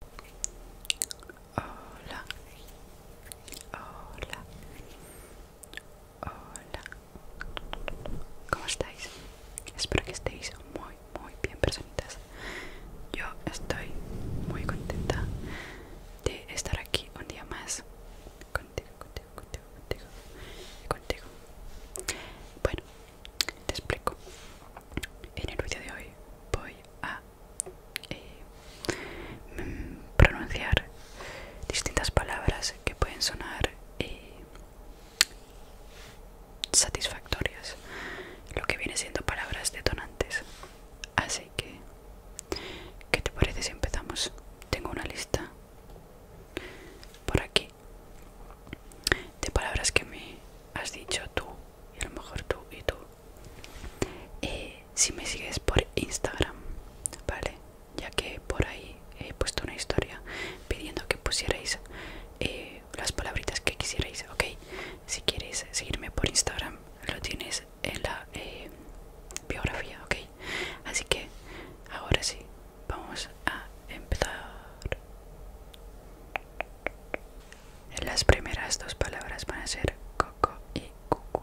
Hola. Hola. Hola. ¿Cómo estáis? Espero que estéis muy, muy bien, presentes Yo estoy muy contenta de estar aquí un día más contigo, contigo, contigo, contigo contigo. Bueno, te explico. En el vídeo de hoy voy a eh, pronunciar distintas palabras que pueden sonar eh, satisfactorias, lo que viene siendo palabras detonantes. Así que, ¿qué te parece si empezamos? Tengo una lista por aquí de palabras que me has dicho tú y a lo mejor tú y tú. Eh, si me sigues por Instagram, ¿vale? Ya que por ahí he puesto una historia pidiendo que pusierais eh, las palabritas que quisierais, ¿ok? Si quieres seguirme por Instagram, lo tienes en la eh, biografía, ¿ok? Así que ahora sí, vamos a empezar. Las primeras dos palabras van a ser coco y cucu.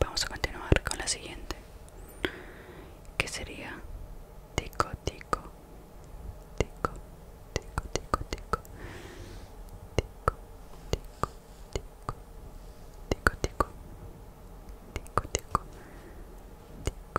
Vamos a continuar con la siguiente, que sería tico tico, tico, tico, tico, tico, tico, tico, tico, tico, tico, tico, tico,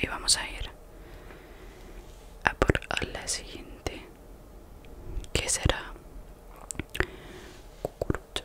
Y vamos a ir a por la siguiente. que será? Cucurucho.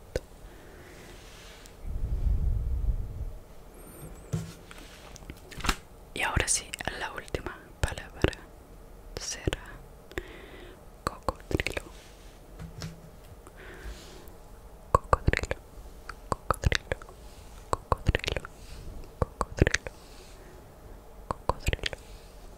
Y ahora sí, la última palabra será cocodrilo. Cocodrilo, cocodrilo, cocodrilo, cocodrilo, cocodrilo,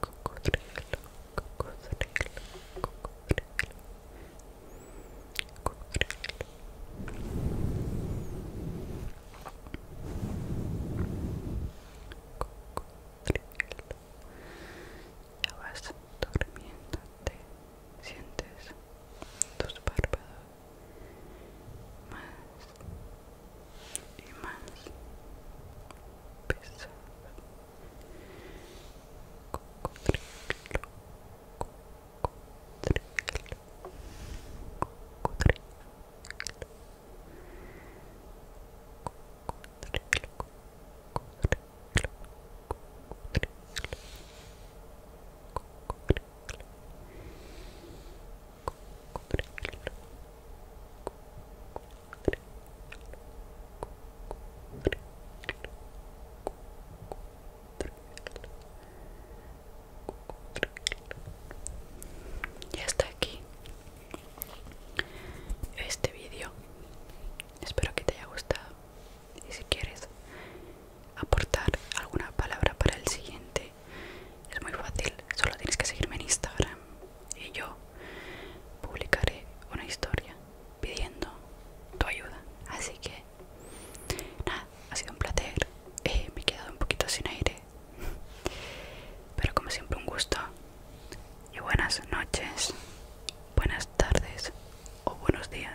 cocodrilo, Ya vas durmiéndote, sientes tus párpados más y más pesados ya está aquí este vídeo. Espero que te haya gustado y si quieres aportar alguna palabra para el siguiente es muy fácil solo tienes que seguirme en Instagram y yo publicaré una historia pidiendo tu ayuda así que nada ha sido un placer eh, me he quedado un poquito sin aire pero como siempre un gusto y buenas noches buenas tardes o buenos días.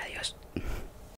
Adiós.